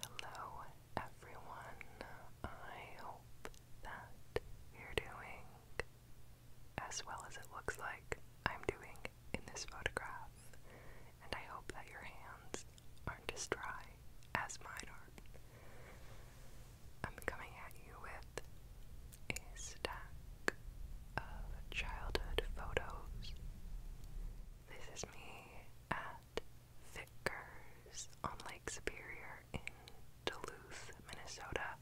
Hello everyone, I hope that you're doing as well as it looks like I'm doing in this photograph, and I hope that your hands aren't as dry as mine are. I'm coming at you with a stack of childhood photos. This is me at Vickers on Lake Superior in Duluth, Minnesota.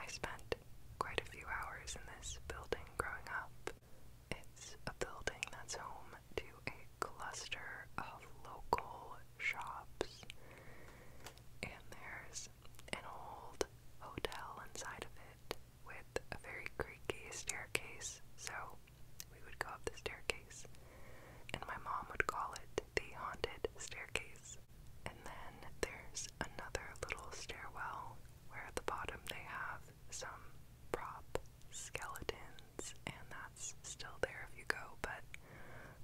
I spent quite a few hours in this building growing up. It's a building that's home to a cluster of local shops, and there's an old hotel inside of it with a very creaky staircase, so we would go up the staircase, and my mom would call it the haunted staircase. And then there's another little stairwell where at the bottom they have some prop skeletons, and that's still there if you go, but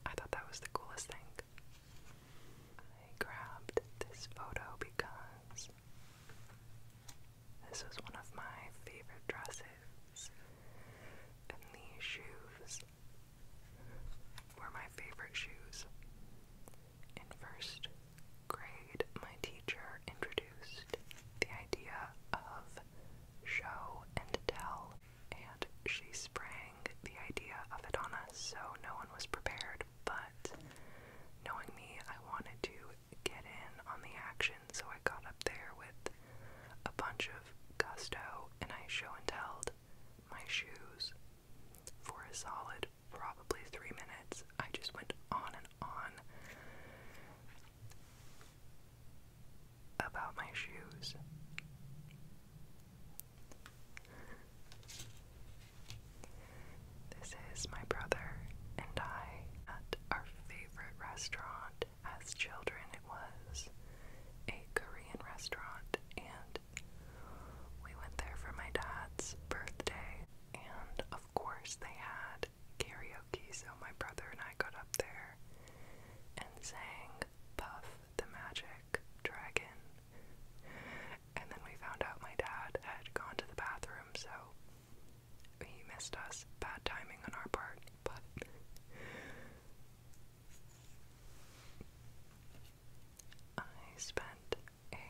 I thought that was the coolest thing. I grabbed this photo because this was one of my favorite dresses, and these shoes were my favorite shoes. In first grade, my teacher introduced the idea of show and tell, and she sprang the idea of it on us, so no one was prepared. But knowing me, I wanted to get in on the action, so I got up there with a bunch of gusto and I show and telled my shoes for a solid probably three minutes. I just went on and on about my shoes. This is my brother and I at our favorite favorite restaurant as children. It was a Korean restaurant, and we went there for my dad's birthday. And of course, they had karaoke, so my brother and I got up there and sang Puff the Magic Dragon. And then we found out my dad had gone to the bathroom, so he missed us. Bad timing on our part, but. I spent a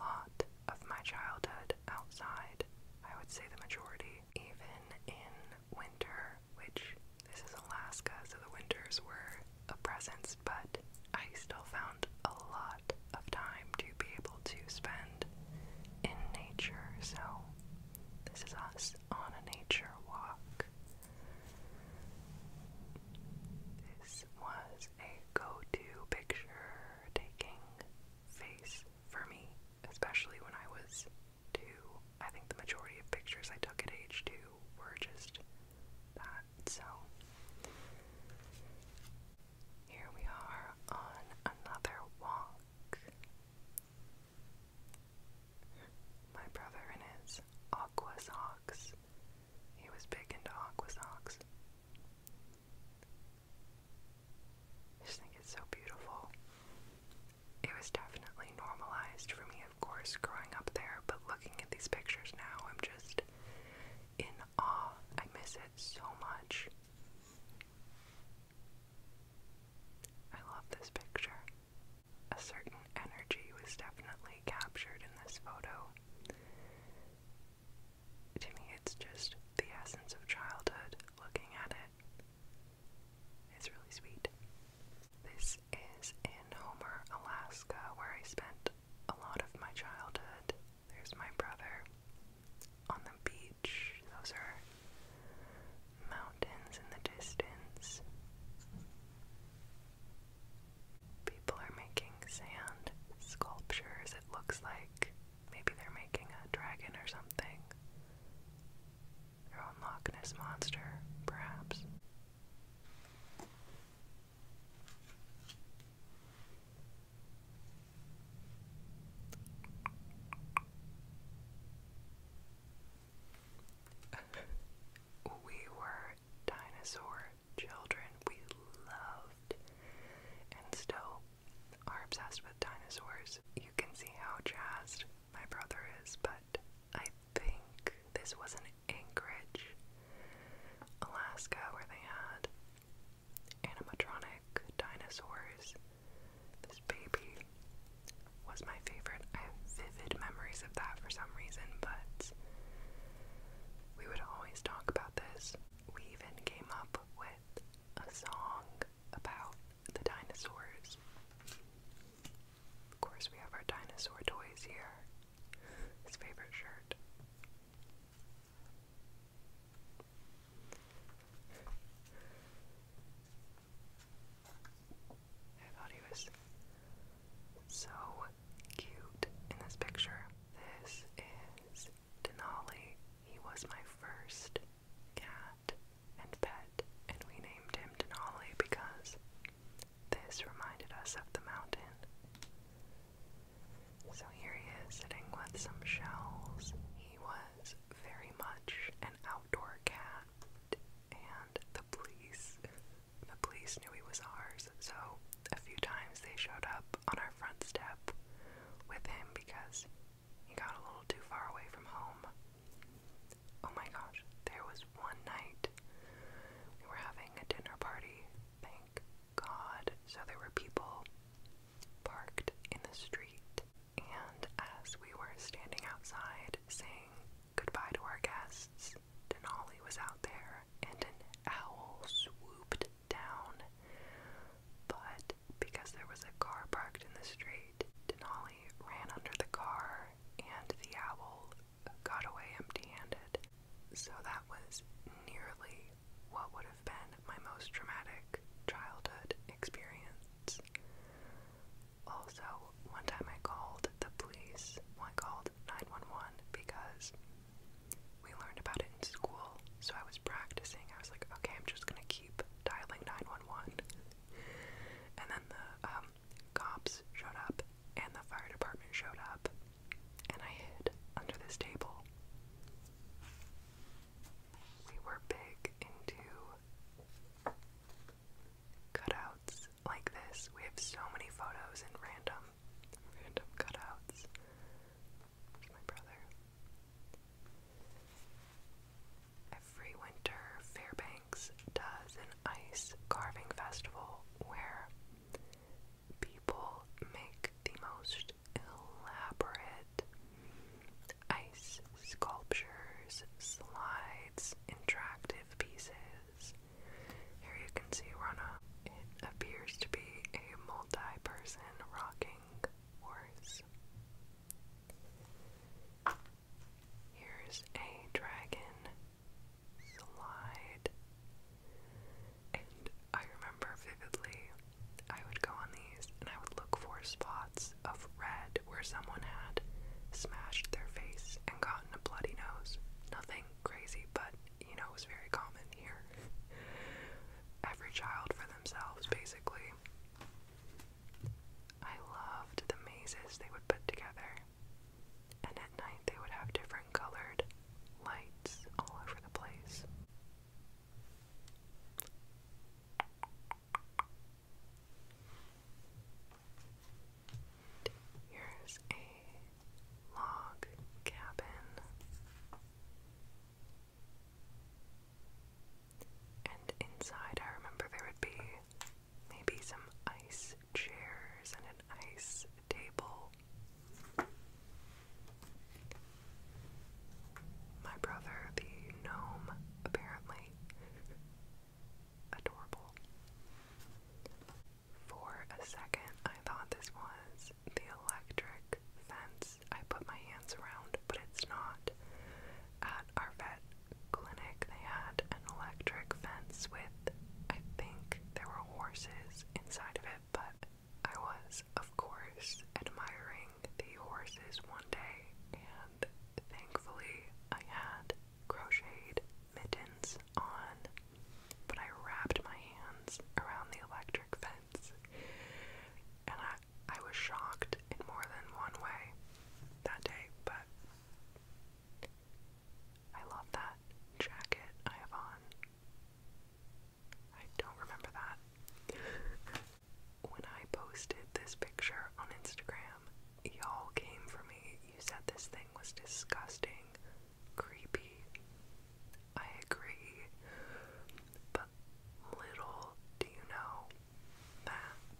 lot of my childhood outside. I would say the majority, even in winter, which this is Alaska, so the winters were a presence, but I still found a lot of time to be able to spend in nature. So this is us on a nature walk. This was a go to picture taking face for me, especially when I was two. I think the majority of pictures I took at age two were just that. So, here we are on another walk. My brother and his aqua He was big into aqua just think it's so beautiful. It was definitely normalized for me, of course, growing up there, but looking at these pictures now, I'm just in awe. I miss it so much. I love this picture. A certain energy was definitely captured in this photo. To me, it's just the essence of childhood looking at it. It's really sweet. This is in Homer, Alaska, where I spent a lot of my childhood. There's my brother on the beach. Those are mountains in the distance. People are making sand sculptures, it looks like. Maybe they're making a dragon or something. Their own Loch Ness monster, perhaps. we were dinosaur children. We loved and still are obsessed with dinosaurs. You can see how jazzed my brother is, but I think this was in Anchorage, Alaska, where they had animatronic dinosaurs this baby was my favorite. I have vivid memories of that for some reason, but we would always talk about this. We even came up with a song about the dinosaurs. Of course, we have our dinosaur toys here. His favorite shirt. I thought he was so cute in this picture. This is Denali. He was my first cat and pet, and we named him Denali because this reminded us of the mountain. So here he is sitting with some shells. He was was very much an outdoor cat, and the police the police knew he was ours, so a few times they showed up on our front step with him because he got a little too far away from home. Oh my gosh, there was one night we were having a dinner party, thank God. So there were people parked in the street. And as we were standing outside saying goodbye to our guests, Denali was out there and an owl swooped down. But because there was a car parked in the street, Denali ran under the car and the owl got away empty handed. So that was nearly what would have been my most traumatic childhood experience. Also, one time I called the police, well, I called 911 because we learned about it in school, so I was practicing. I was like, okay, I'm just gonna keep dialing 911. And then the um, cops showed up, and the fire department showed up, and I hid under this table. We were big into cutouts like this. We have so many photos and random, random cutouts. my brother. Every winter, Fairbanks does an ice carving festival where people make the most elaborate ice sculptures, slides, interactive pieces. Here you can see Rana. It appears to be a multi-person rocking horse. Here's a dragon slide. And I remember vividly I would go on these and I would look for spots of red where someone had smashed their face and gotten a bloody nose. Nothing crazy, but you know, it was very common here. Every child for themselves, basically. I loved the mazes they would put together, and at night they would have different colored lights all over the place. Here's a log cabin and inside I remember there would be maybe some ice chairs and an ice table. My brother, the gnome, apparently Adorable. For a second, I thought this was the electric fence I put my hands around, but it's not. At our vet clinic, they had an electric fence with, I think, there were horses inside of it, but I was, of course, admiring the horses one day and Thankfully, I had crocheted mittens on, but I wrapped my hands around the electric fence, and I, I was shocked in more than one way that day, but I love that jacket I have on. I don't remember that. When I posted this picture on Instagram, y'all came for me. You said this thing was disgusting, creepy. I agree. But little do you know that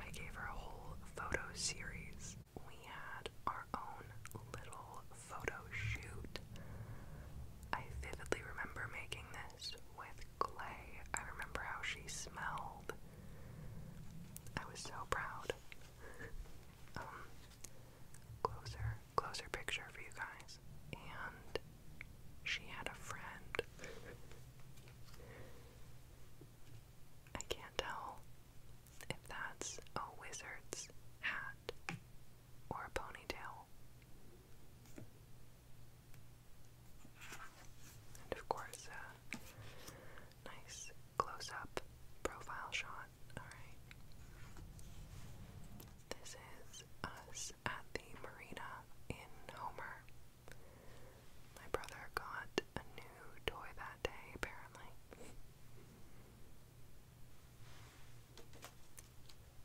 I gave her a whole photo series. We had our own little photo shoot. I vividly remember making this with clay. I remember how she smelled. I was so proud. Um, closer, closer picture for you guys. And she had a friend. I can't tell if that's a wizard's hat or a ponytail. And of course, a uh, nice close up profile shot. Alright. This is us at the marina in Homer. My brother got a new toy that day, apparently.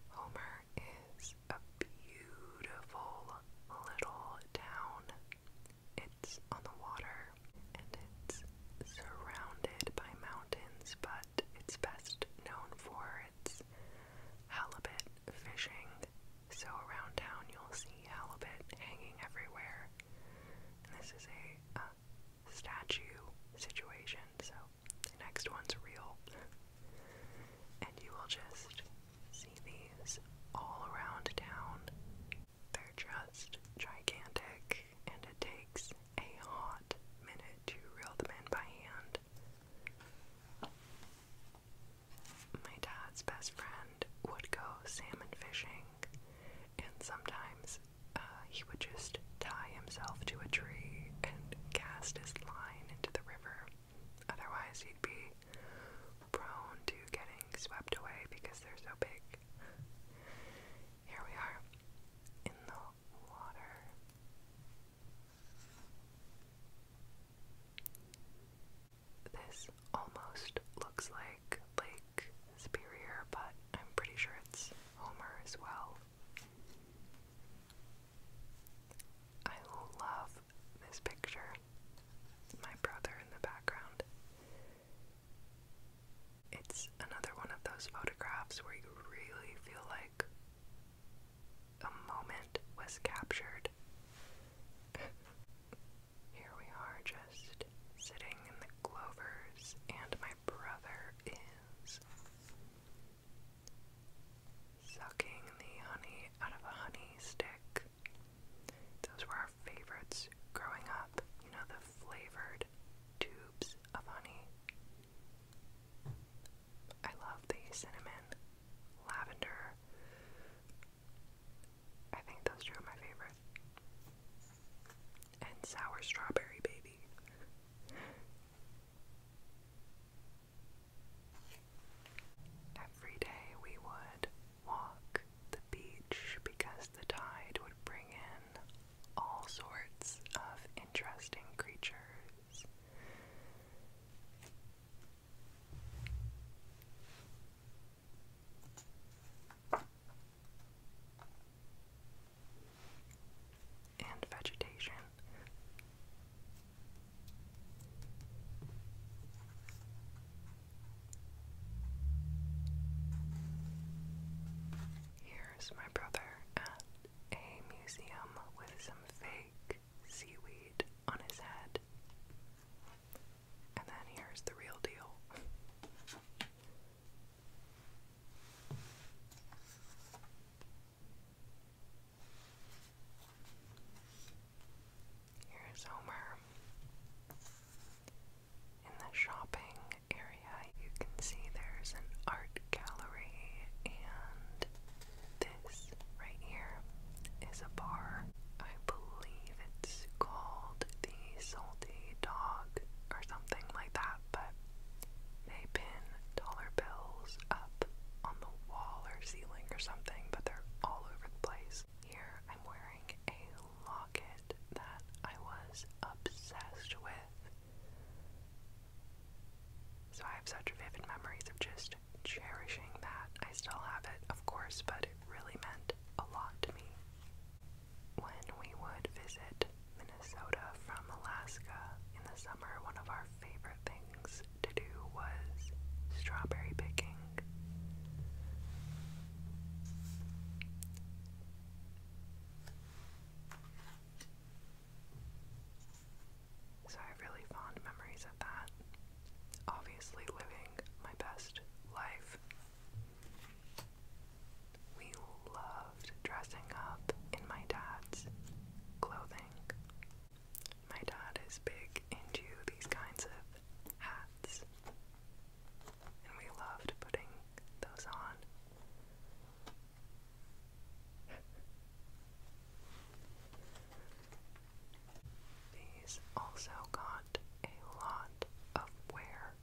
Homer is a beautiful little town. It's on the water and it's surrounded by mountains, but it's best known for its halibut fishing. So around town you'll see halibut hanging everywhere. this is a statue situation, so the next one's real. and you will just see these all around town. They're just gigantic, and it takes a hot minute to reel them in by hand. My dad's best friend would go salmon fishing, and sometimes uh, he would just tie himself to a tree and cast his line into the river. Otherwise, you'd be prone to getting swept away because they're so big. Here we are in the water. This almost looks like Lake Superior, but I'm pretty sure it's Homer as well. I love this picture. My brother in the background. It's another one of those photographs where you really feel like a moment was captured. Here we are just sitting in the Clovers, and my brother is Sucking the honey out of a honey stick. Those were our favorites growing up. You know, the flavored tubes of honey. I love the cinnamon, lavender. I think those two are my favorite. And sour strawberry baby. Every day we would walk the beach because the tide would bring in all sorts of interesting creatures and vegetation. Here's my brother at a museum with some fake seaweed on his head. And then here's the real deal. Here's Homer. In the shopping area, you can see there's an art gallery, and this right here is a bar. I believe it's called the Salty Dog or something like that, but they pin dollar bills on the wall or ceiling or something, but they're all over the place. Here I'm wearing a locket that I was obsessed with. So I have such vivid memories of just cherishing that. I still have it, of course, but it really meant a lot to me. When we would visit Minnesota from Alaska in the summer, one of our favorite things to do was strawberry picking. So I have really fond memories of that. Obviously, living my best life. We loved dressing up in my dad's clothing. My dad is big into these kinds of hats, and we loved putting those on. These also got a lot of wear,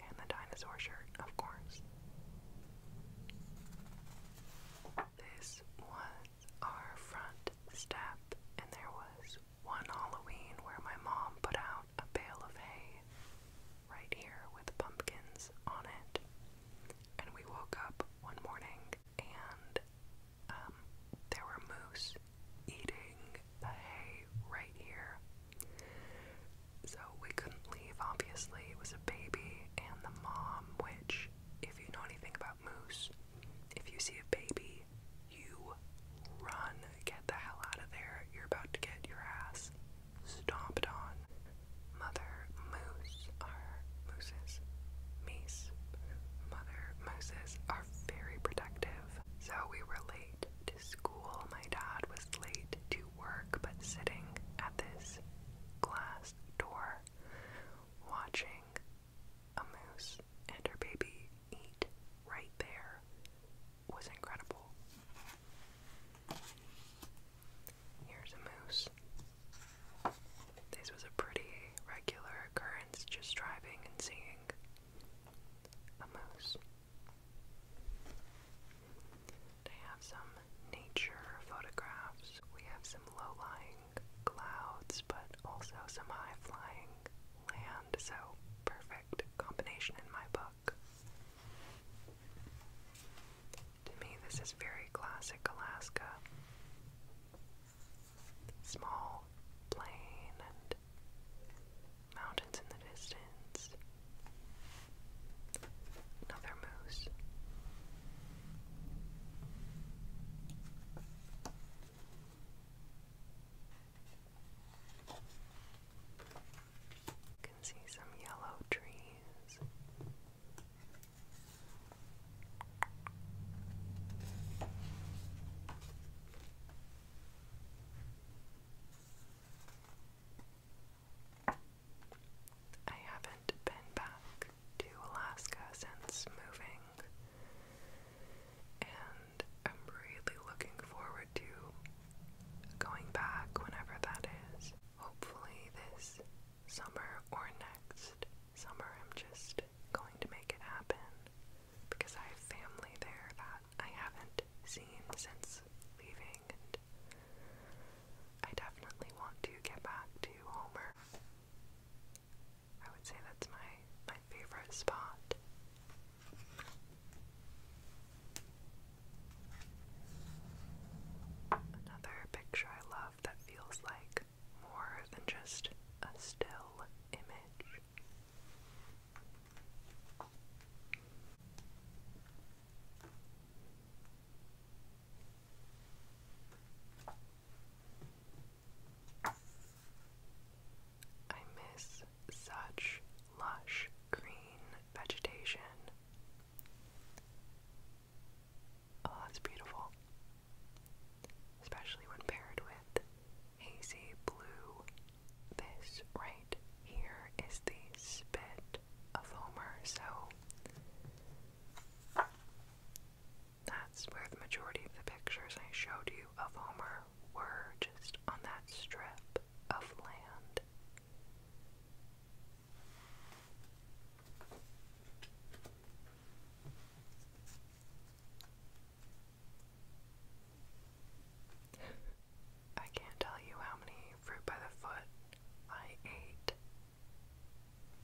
and the dinosaur shirt, of course. This was our front step, and there was one Halloween where my mom put out a bale of hay right here with pumpkins on it. And we woke up one morning and um, there were moose eating the hay right here. So we couldn't leave, obviously. It was a baby and the mom, which if you know anything about moose, if you see a baby, you run, get the hell out of there. You're about to get your ass stomped on. Mother moose are mooses. Meese. Mother mooses are very protective. So we were late to school. My dad was late to work, but sitting at this glass door watching a moose and her baby eat right there was incredible. Here's a moose. This was a pretty regular occurrence, just driving and seeing a moose. They have some nature photographs. We have some low-lying clouds, but also some high-flying land, so perfect combination in my book. To me, this is very classic Alaska. Small plane and mountains in the distance. Another moose. You can see some yellow trees. I haven't been back to Alaska since moving, and I'm really looking forward to going back whenever that is. Hopefully, this summer or next summer, I'm just going to make it happen because I have family there that I haven't seen since leaving, and I definitely want to get back to Homer. I would say that's my my favorite spot. Another picture I love that feels like more than just a still image. I miss such lush green vegetation. Oh, that's beautiful. Especially when paired with hazy blue. This right here is the spit of Homer, so that's where the majority of the pictures I showed you of Homer were just on that strip of land. I can't tell you how many fruit by the foot I ate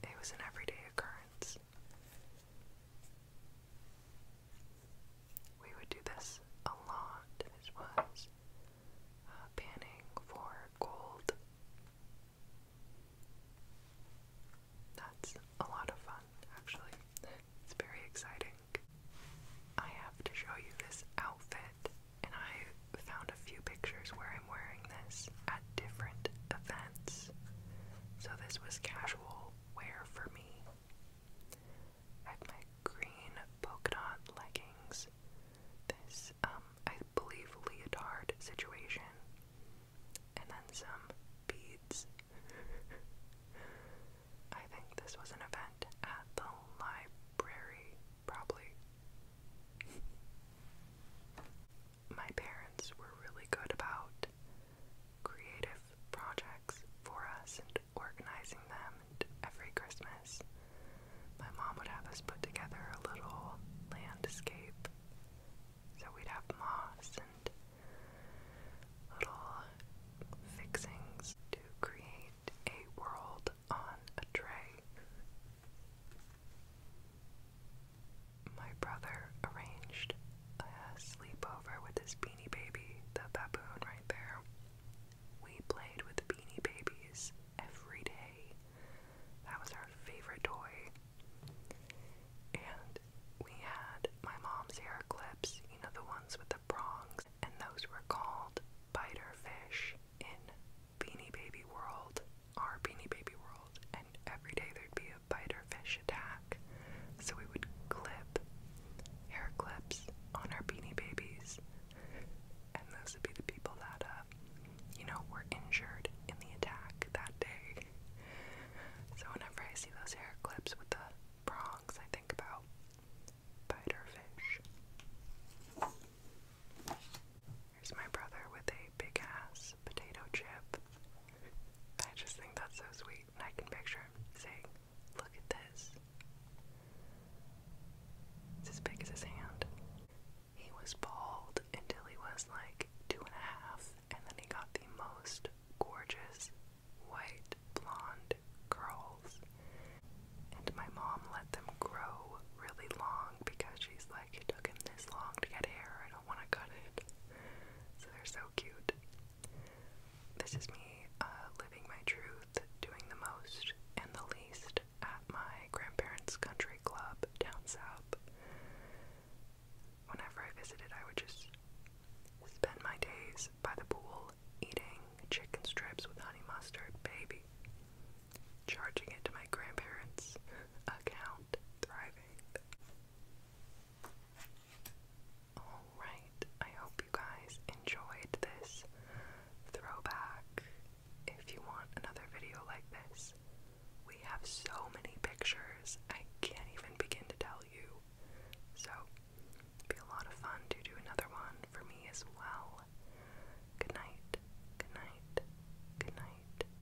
it was an everyday occurrence. We would do this a lot. It was uh, panning for gold. That's a lot of fun, actually. It's very exciting. I have to show you this outfit, and I found a few pictures where I'm wearing this different events. So this was casual wear for me. I have my green polka dot leggings. This, um, I believe leotard situation. And then some beads. I think this was an event at the library, probably my parents were really good about creative projects for us and organizing them. And every Christmas, my mom would have us put together a little landscape. So we'd have moss and little fixings to create a world on a tray. My brother arranged a sleepover with his beanie baby, the baboon right there. We played with the beanie babies every day. That was our favorite toy. And we had my mom's hair clips, you know, the ones with the prongs, and those were called biter fish in Beanie Baby World our Beanie Baby world, and every day there'd be a bite or fish attack. So we would clip hair clips on our Beanie Babies, and those would be the people that, uh, you know, were injured in the attack that day. So whenever I see those hair clips with the prongs, I think about biter fish. Here's my brother with a big ass potato chip. I just think that's so sweet, and I can picture him saying, Look at this. It's as big as his hand. He was bald until he was like two and a half, and then he got the most gorgeous white blonde curls. And my mom let them grow really long because she's like, it took him this long to get hair, want to cut it. So they're so cute. This is me uh, living my truth, doing the most and the least at my grandparents' country club down south. Whenever I visited, I would just spend my days by the pool eating chicken strips with honey mustard, baby. Charging it to my grandparents' account, Thrive Alright, I hope you guys enjoyed this throwback. If you want another video like this, we have so many pictures, I can't even begin to tell you. So, it'd be a lot of fun to do another one for me as well. Good night, good night, good night.